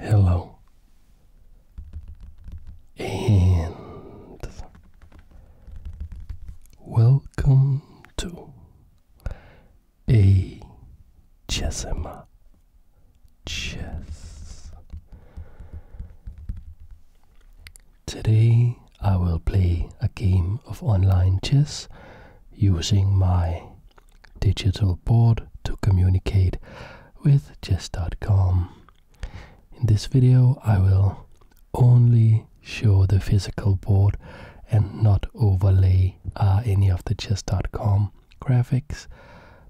Hello and welcome to a Chessima Chess. Today I will play a game of online chess using my digital board to communicate with Chess.com. In this video I will only show the physical board and not overlay uh, any of the Chess.com graphics.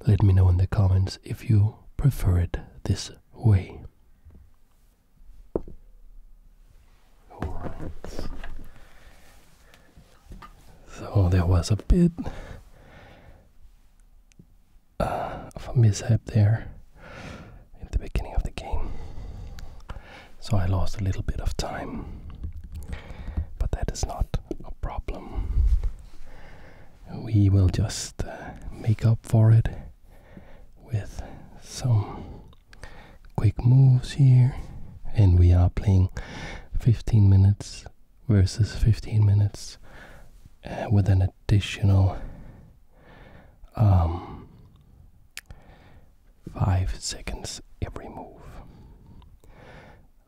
Let me know in the comments if you prefer it this way. So there was a bit of a mishap there in the beginning of the game. So I lost a little bit of time, but that is not a problem. We will just uh, make up for it with some quick moves here, and we are playing 15 minutes versus 15 minutes uh, with an additional um, 5 seconds every move.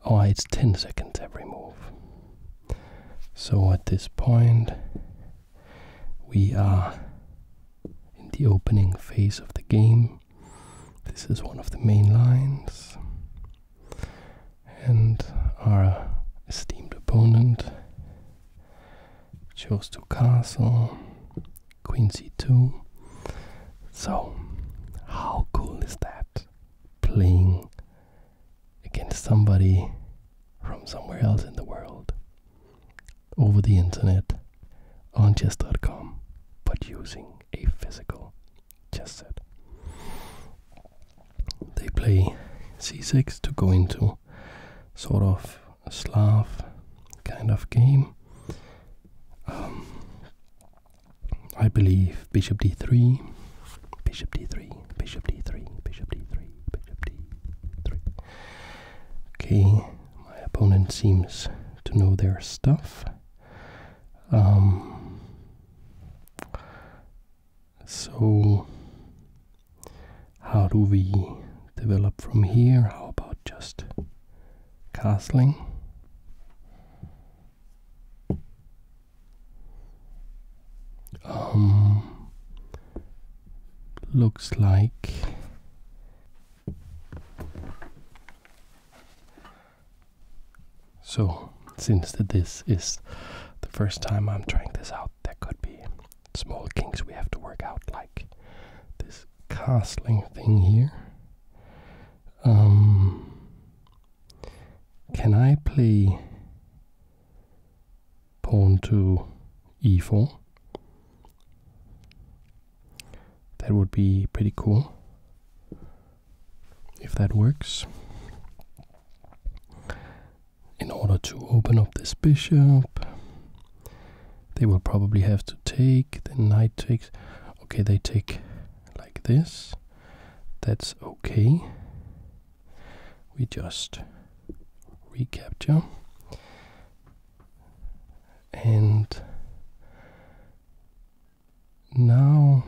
Oh, it's 10 seconds every move. So at this point, we are in the opening phase of the game. This is one of the main lines. And our esteemed opponent chose to castle, queen c2. So, how cool is that? Playing against somebody from somewhere else in the world over the internet on chess.com, but using a physical just that. They play c6 to go into sort of Slav kind of game. Um, I believe bishop d3, bishop d3, bishop d3, bishop d3, bishop d3. Okay, my opponent seems to know their stuff. Um, so, how do we develop from here? How about just castling? Um, looks like so, since this is the first time I'm trying this out, there could be small kinks we have to work out, like this castling thing here. Um, can I play pawn to e4? That would be pretty cool if that works. In order to open up this bishop, they will probably have to take. The knight takes. Okay, they take like this. That's okay. We just recapture. And now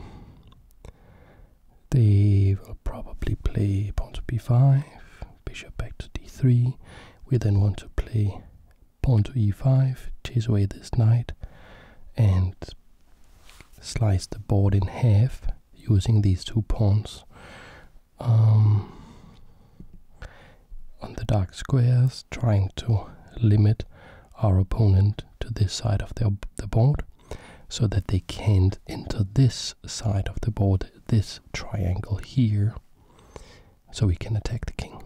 they will probably play pawn to b5, bishop back to d3. We then want to play pawn to e5, chase away this knight, and slice the board in half using these two pawns. Um, on the dark squares, trying to limit our opponent to this side of the board so that they can't enter this side of the board, this triangle here, so we can attack the king.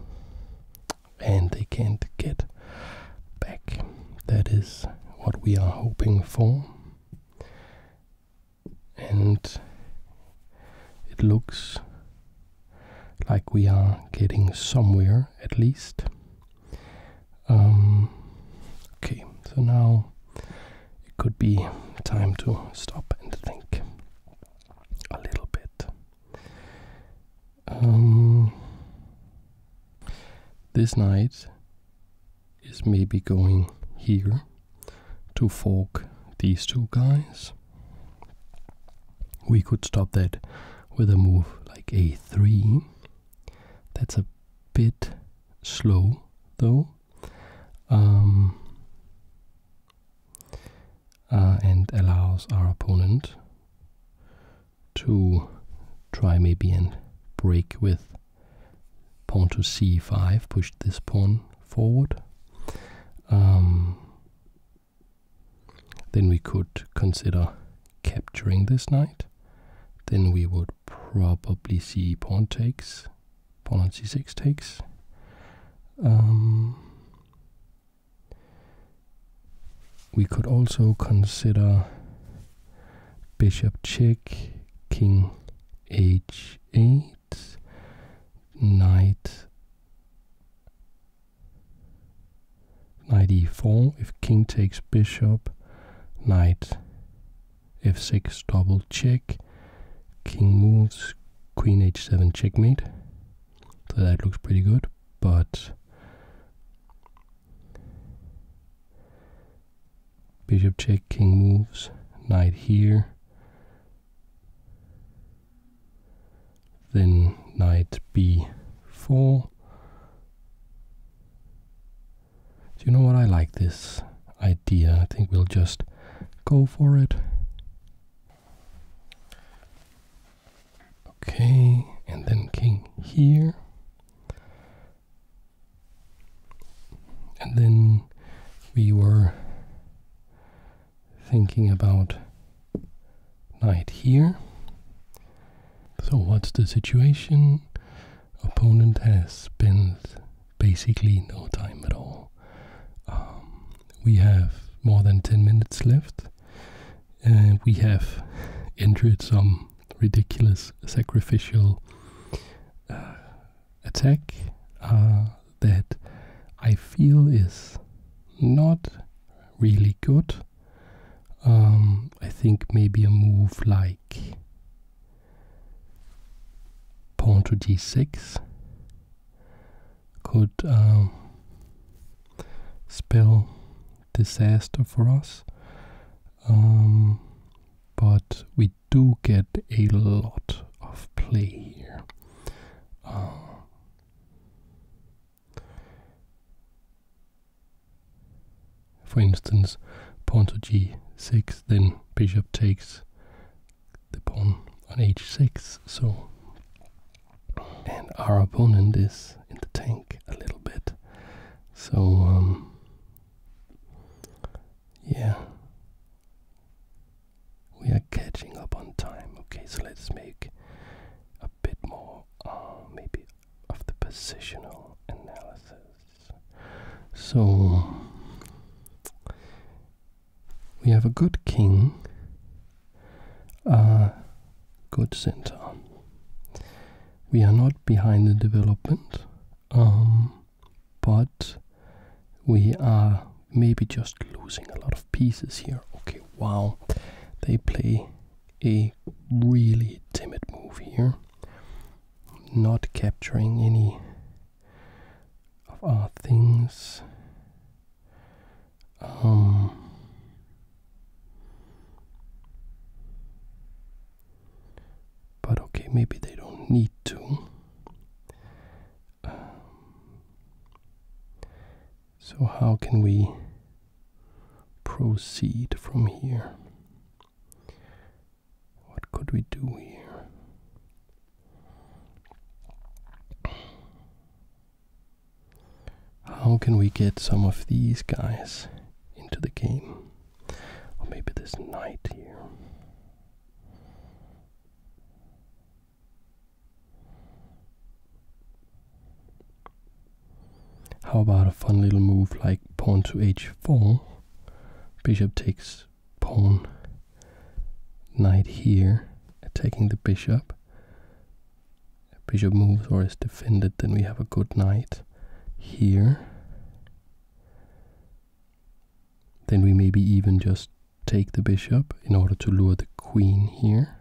And they can't get back. That is what we are hoping for. And it looks like we are getting somewhere at least. Um, okay, so now it could be time to stop and think a little bit. Um, this night is maybe going here to fork these two guys. We could stop that with a move like a3 that's a bit slow though. Um, uh, and allows our opponent to try maybe and break with pawn to c5, push this pawn forward. Um, then we could consider capturing this knight. Then we would probably c pawn takes, pawn c6 takes. we could also consider bishop check, king h8, knight knight e4 if king takes bishop knight f6 double check, king moves, queen h7 checkmate. So that looks pretty good, but bishop check, king moves, knight here. Then knight b4 do you know what? I like this idea. I think we'll just go for it. Okay, and then king here. And then we were thinking about knight here. So what's the situation? Opponent has spent basically no time at all. Um, we have more than 10 minutes left. and we have entered some ridiculous sacrificial uh, attack uh, that I feel is not really good. Um, I think maybe a move like pawn to d6 could um, spell disaster for us. Um, but we do get a lot of play here. Uh, for instance, pawn to g6, then bishop takes the pawn on h6, so and our opponent is in the tank a little bit. So um, yeah. We are catching up on time. Okay, so let's make a bit more uh, maybe of the positional analysis. So we have a good king, a good center. We are not behind the development, um, but we are maybe just losing a lot of pieces here. Okay, wow, they play a really timid move here not capturing any of our things. Um, but okay, maybe they don't need to. Um, so, how can we proceed from here? What could we do here? How can we get some of these guys into the game? Or maybe this knight here. How about a fun little move like pawn to h4 Bishop takes pawn. Knight here, attacking the bishop. Bishop moves or is defended, then we have a good knight here. Then we maybe even just take the bishop in order to lure the queen here.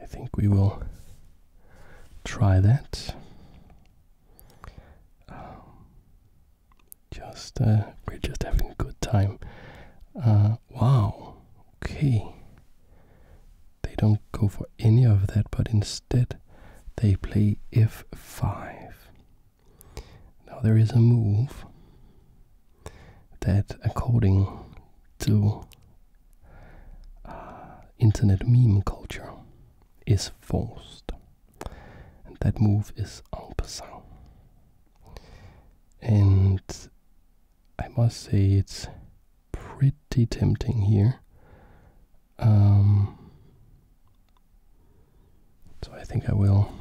I think we will try that. Um, just uh, we're just having a good time. Uh, wow. Okay. They don't go for any of that, but instead they play f5. Now there is a move that according to uh, internet meme culture is forced. And that move is en passant. And I must say it's pretty tempting here. Um, so I think I will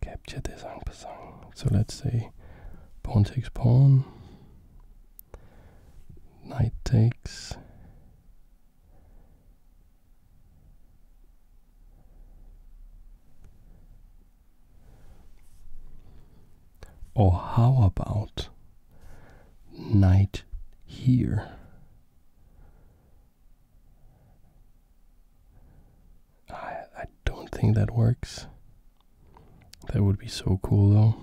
Capture this en So let's say pawn takes pawn, knight takes. Or how about knight here? I I don't think that works. That would be so cool though.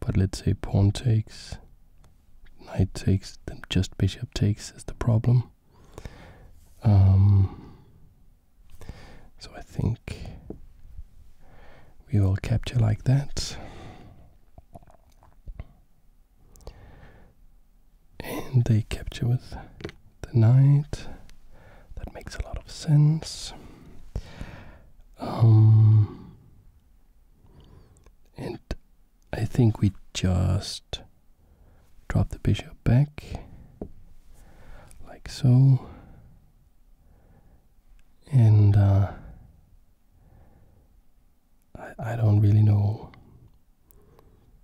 But let's say pawn takes, knight takes, then just bishop takes is the problem. Um, so I think we will capture like that. And they capture with the knight. That makes a lot of sense. Um, and I think we just drop the bishop back, like so. And uh, I don't really know.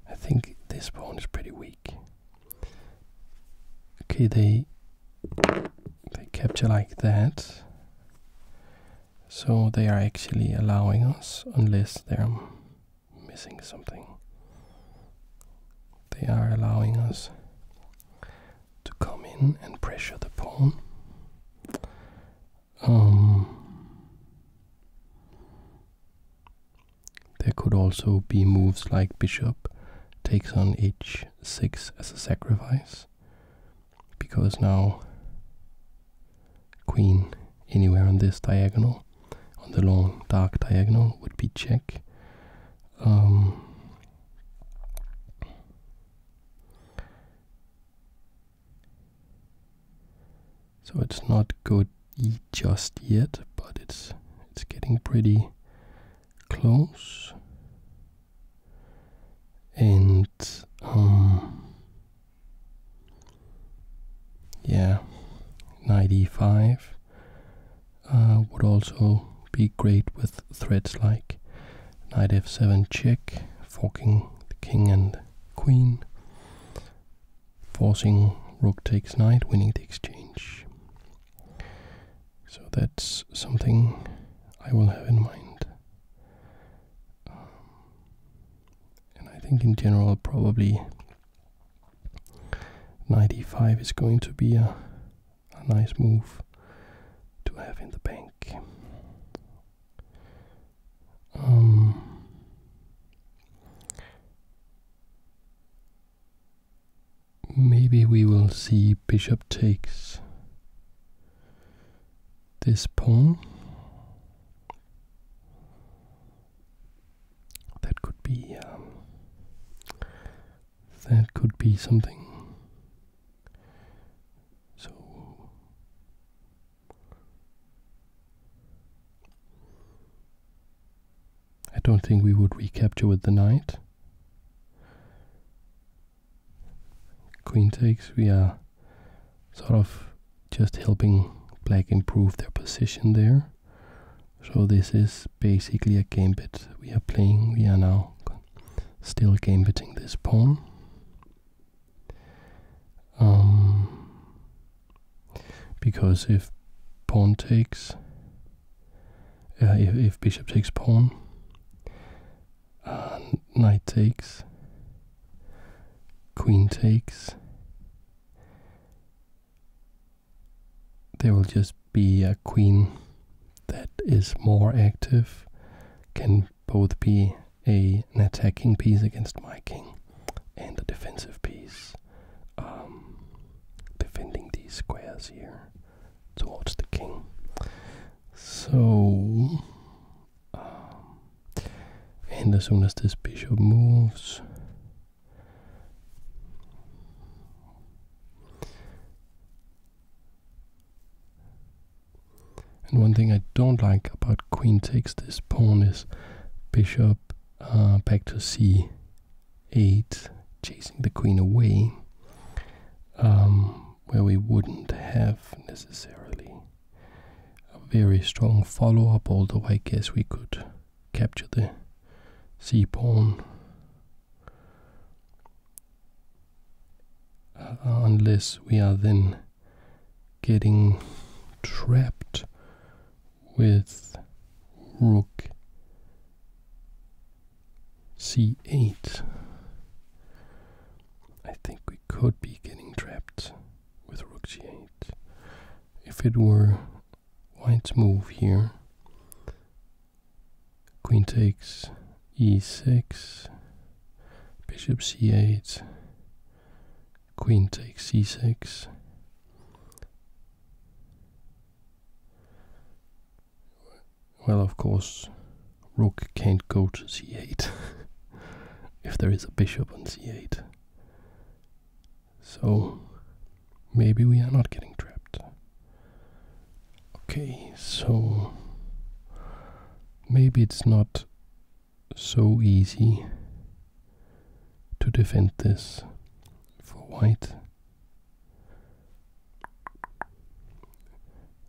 I think this pawn is pretty weak. Okay, they they capture like that. So they are actually allowing us unless they're missing something. They are allowing us to come in and pressure the pawn. Um, there could also be moves like bishop takes on h6 as a sacrifice, because now queen anywhere on this diagonal, on the long dark diagonal, would be check. Um, so it's not good just yet, but it's it's getting pretty close. And um yeah, 95 uh, would also be great with threads like knight f7 check, forking the king and queen, forcing rook takes knight, winning the exchange. So that's something I will have in mind. Um, and I think in general, probably knight e5 is going to be a nice move to have in the bank. Um, maybe we will see bishop takes this pawn. That could be um, that could be something. So I don't think we would recapture with the knight. Queen takes, we are sort of just helping black improve their position there. So this is basically a gambit we are playing. We are now still gambiting this pawn. Um, because if pawn takes, uh, if, bishop takes pawn, uh, knight takes, queen takes, there will just be a queen that is more active, can both be a, an attacking piece against my king and a defensive piece um, defending these squares here towards the king. So, um, and as soon as this bishop moves, and one thing I don't like about queen takes this pawn is bishop uh, back to c8, chasing the queen away, um, where we wouldn't have necessarily a very strong follow-up, although I guess we could capture the c pawn uh, unless we are then getting trapped with rook c8. I think we could be getting trapped with rook c 8 If it were white's move here, queen takes e6, bishop c8, queen takes c6. Well, of course, rook can't go to c8 if there is a bishop on c8. So maybe we are not getting trapped. Okay, so maybe it's not so easy to defend this for white.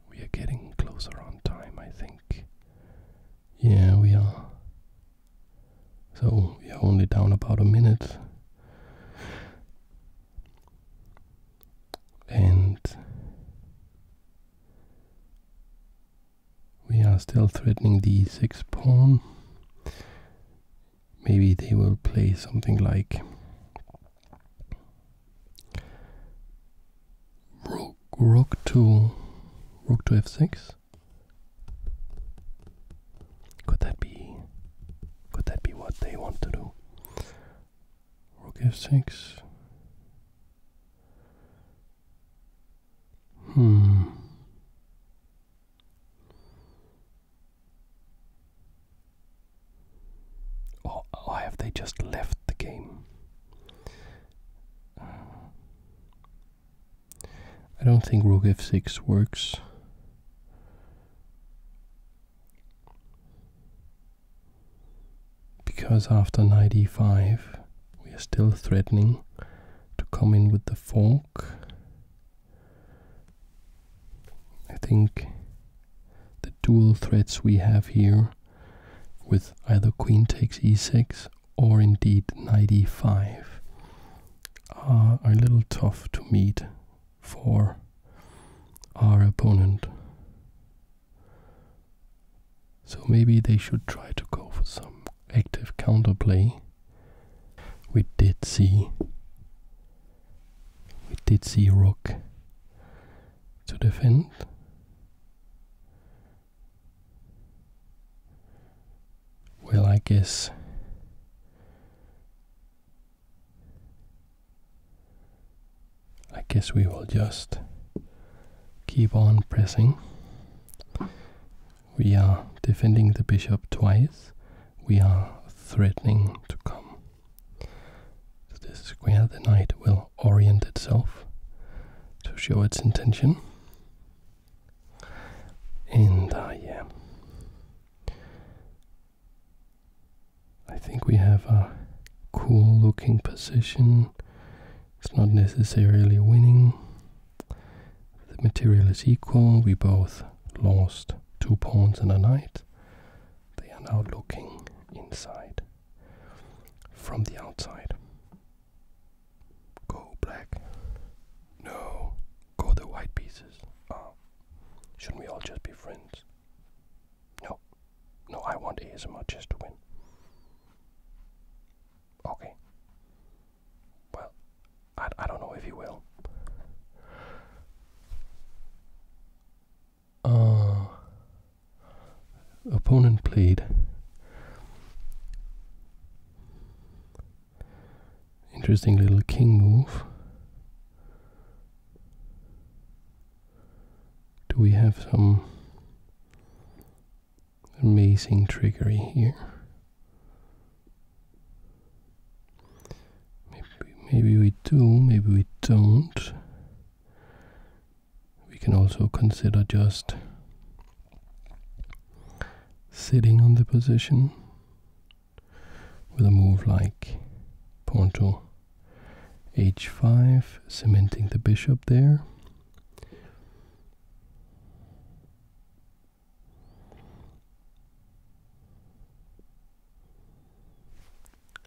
We are getting closer on time, I think. Yeah, we are. So we are only down about a minute. And we are still threatening the e6 pawn. Maybe they will play something like rook, rook to rook to f6. Could that be could that be what they want to do? Rook f6 Hmm. Or, have they just left the game? Uh, I don't think rook f6 works because after knight e5 we are still threatening to come in with the fork. I think the dual threats we have here with either queen takes e6 or indeed knight e5 are a little tough to meet for our opponent. So maybe they should try to go for some active counterplay. We did see we did see rock. to defend. Well, I guess I guess we will just keep on pressing. We are defending the bishop twice. We are threatening to come. To this square, the knight will orient itself to show its intention. And uh, yeah, I think we have a cool looking position it's not necessarily winning. The material is equal. We both lost two pawns and a knight. They are now looking inside from the outside. Go black. No, go the white pieces. Oh. Shouldn't we all just be friends? No, no, I want ASMR just to win. Okay. Well, I, I don't know if you will. Uh, opponent played. Interesting little king move. Do we have some amazing trickery here. Maybe, we do, maybe we don't. We can also consider just sitting on the position with a move like pawn to h5, cementing the bishop there.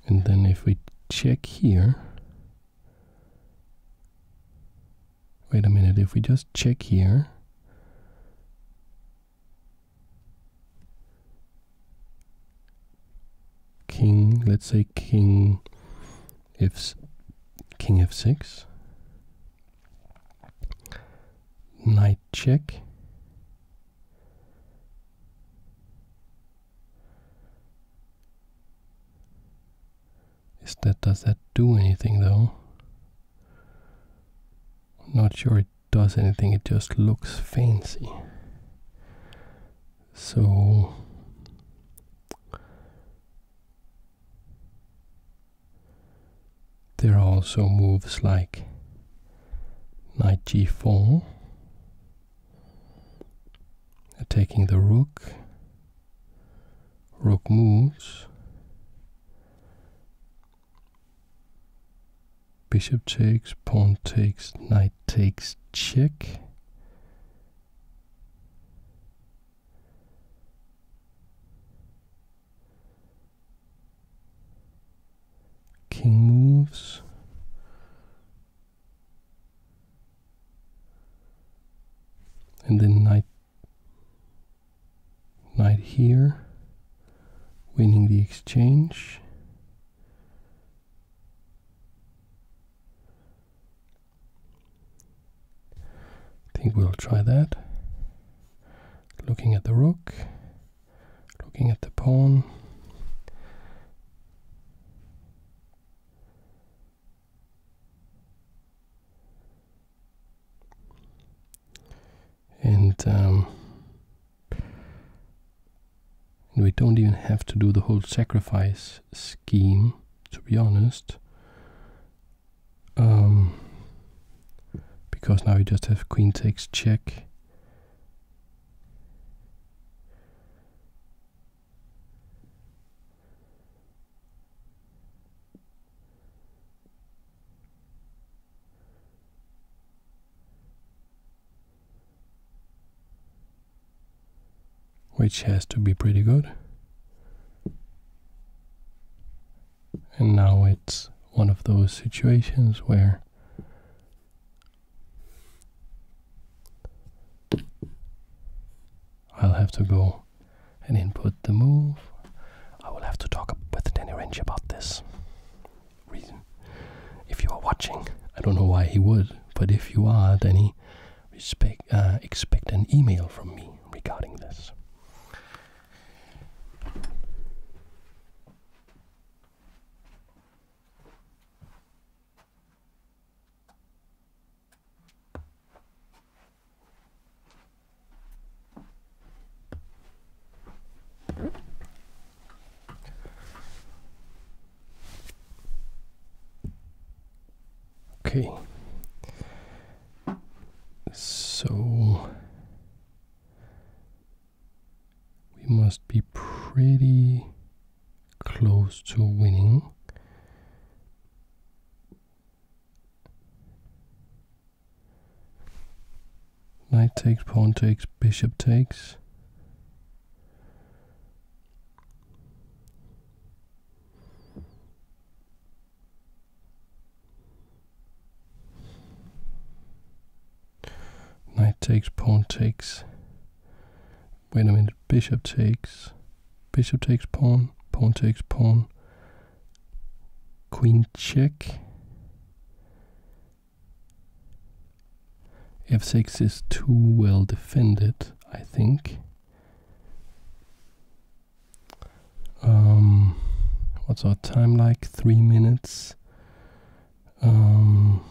And then if we check here, wait a minute, if we just check here, king, let's say king if king f6 knight check is that does that do anything though not sure it does anything it just looks fancy so there are also moves like knight g4, Taking the rook, rook moves, bishop takes, pawn takes, knight takes, check. King moves. And then knight knight here, winning the exchange. I think we'll try that. Looking at the rook, looking at the pawn. And um, we don't even have to do the whole sacrifice scheme to be honest. Um, because now you just have queen takes check which has to be pretty good. And now it's one of those situations where I'll have to go and input the move. I will have to talk with Danny Range about this. If you are watching, I don't know why he would, but if you are, Danny, uh, expect an email from me regarding this. Okay. So we must be pretty close to winning. Knight takes, pawn takes, bishop takes. Knight takes, pawn takes. Wait a minute, bishop takes. Bishop takes pawn, pawn takes pawn. Queen check. f6 is too well defended, I think. Um, what's our time like? Three minutes. Um,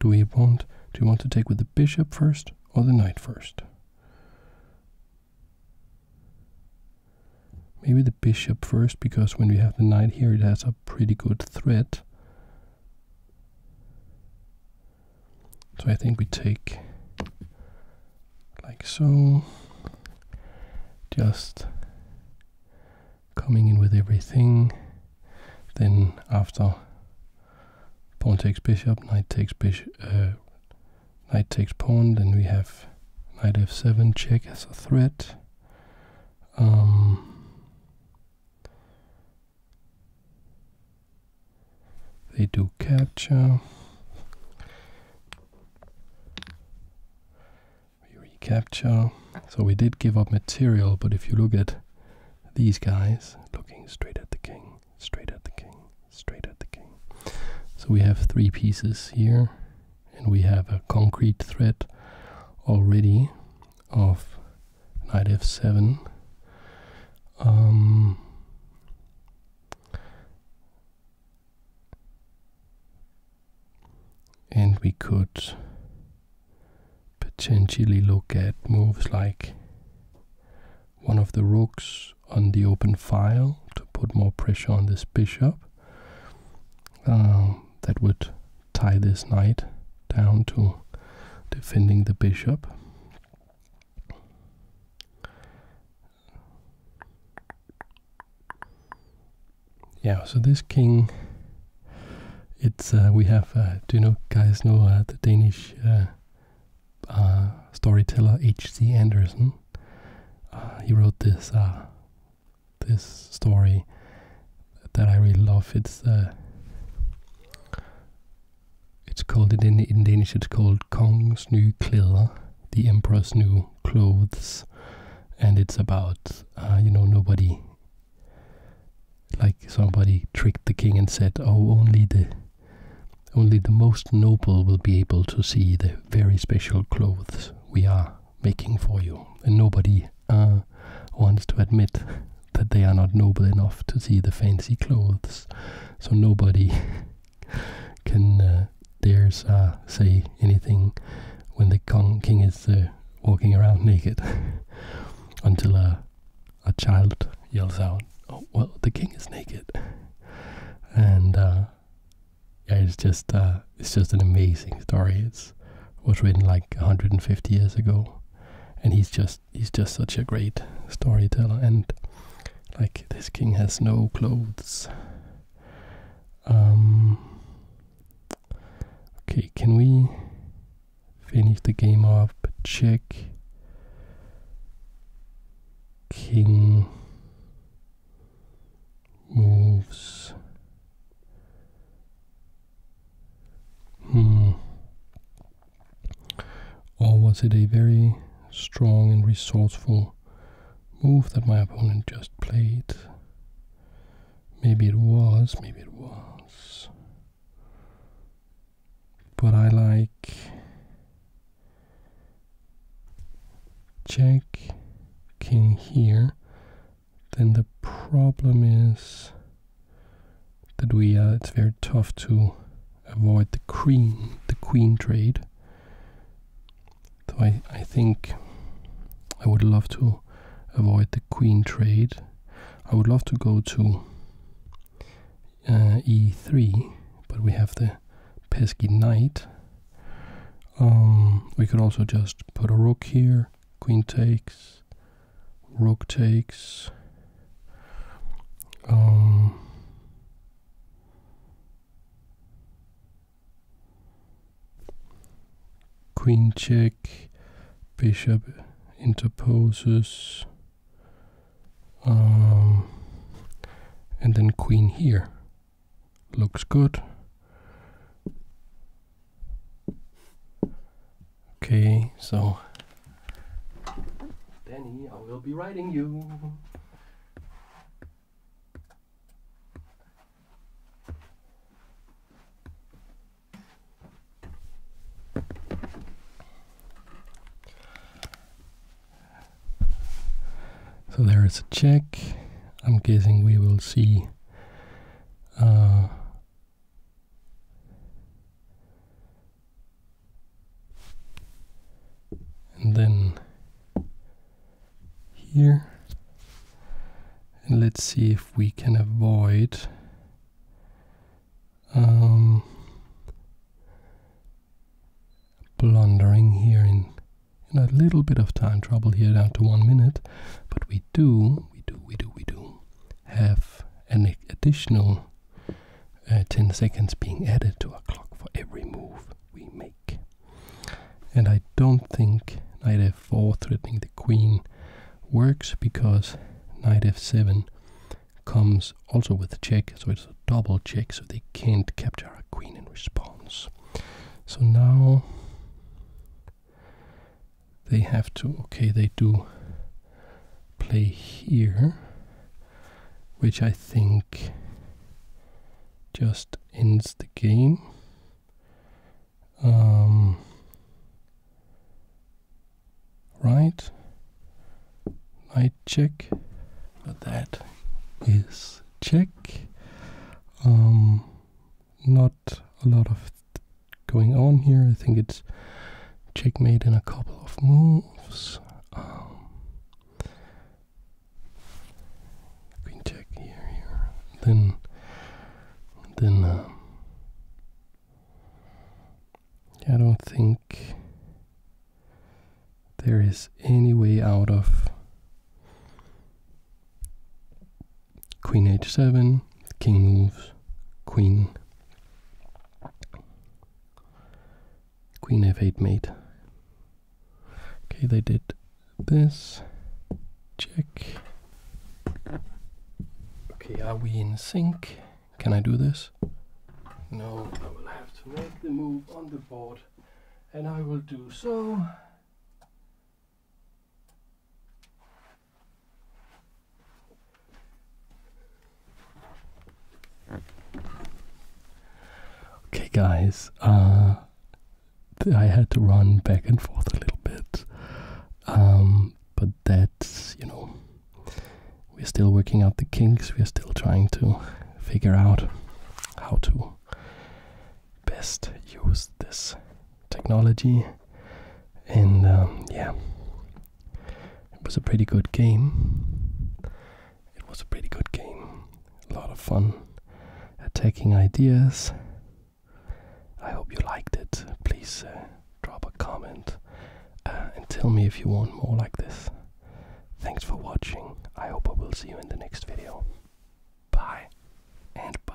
do we want? Do you want to take with the bishop first or the knight first? Maybe the bishop first, because when we have the knight here, it has a pretty good threat. So I think we take like so. Just coming in with everything. Then after pawn takes bishop, knight takes bishop, uh, knight takes pawn, then we have knight f7 check as a threat. Um, they do capture. Uh, we recapture. So we did give up material, but if you look at these guys, looking straight at the king, straight at the king, straight at the king. So we have three pieces here and we have a concrete threat already of knight f7 um, and we could potentially look at moves like one of the rooks on the open file to put more pressure on this bishop. Um, that would tie this knight down to defending the bishop. Yeah, so this king, it's uh, we have. Uh, do you know guys know uh, the Danish storyteller H.C. Andersen? he wrote this this story that I really love. It's uh, it's called in in Danish. It's called Kongens Nye Klæder, the Emperor's New Clothes, and it's about uh, you know nobody like somebody tricked the king and said, "Oh, only the." Only the most noble will be able to see the very special clothes we are making for you. And nobody uh, wants to admit that they are not noble enough to see the fancy clothes. So nobody can uh, dares uh, say anything when the king is uh, walking around naked until a, uh, a child yells out, Oh, well, the king is naked. And yeah, it's just uh, it's just an amazing story. It's was written like 150 years ago, and he's just he's just such a great storyteller. And like this king has no clothes. Um. Okay, can we finish the game up? Check. King moves Hmm. Or was it a very strong and resourceful move that my opponent just played? Maybe it was, maybe it was. But I like check king here then the problem is that we uh, it's very tough to avoid the queen the queen trade. So I, I think I would love to avoid the queen trade. I would love to go to uh, e3, but we have the pesky knight. Um, we could also just put a rook here queen takes, rook takes, um, queen check, bishop interposes, um, and then queen here. Looks good. Okay, so Danny, I will be writing you. So there is a check. I'm guessing we will see uh, and then here and let's see if we can avoid um, blundering here in, in a little bit of time trouble here down to one minute but we do we do, we do, we do have an additional uh, 10 seconds being added to our clock for every move we make. And I don't think knight f4 threatening the queen works because knight f7 comes also with a check, so it's a double check, so they can't capture our queen in response. So now they have to, okay, they do play here, which I think just ends the game. Um, right, knight check, but that is check. Um, not a lot of going on here. I think it's checkmate in a couple of moves. queen um, check here, here. Then, then, uh, I don't think there is any way out of queen h7, king moves, queen, queen f8 mate. Okay, they did this. Check. Okay, are we in sync? Can I do this? No, I will have to make the move on the board, and I will do so. Okay, guys, uh, I had to run back and forth a little bit, um, but that's, you know, we're still working out the kinks, we're still trying to figure out how to best use this technology and um, yeah, it was a pretty good game. It was a pretty good game, a lot of fun, attacking ideas. I hope you liked it. Please uh, drop a comment uh, and tell me if you want more like this. Thanks for watching. I hope I will see you in the next video. Bye and bye.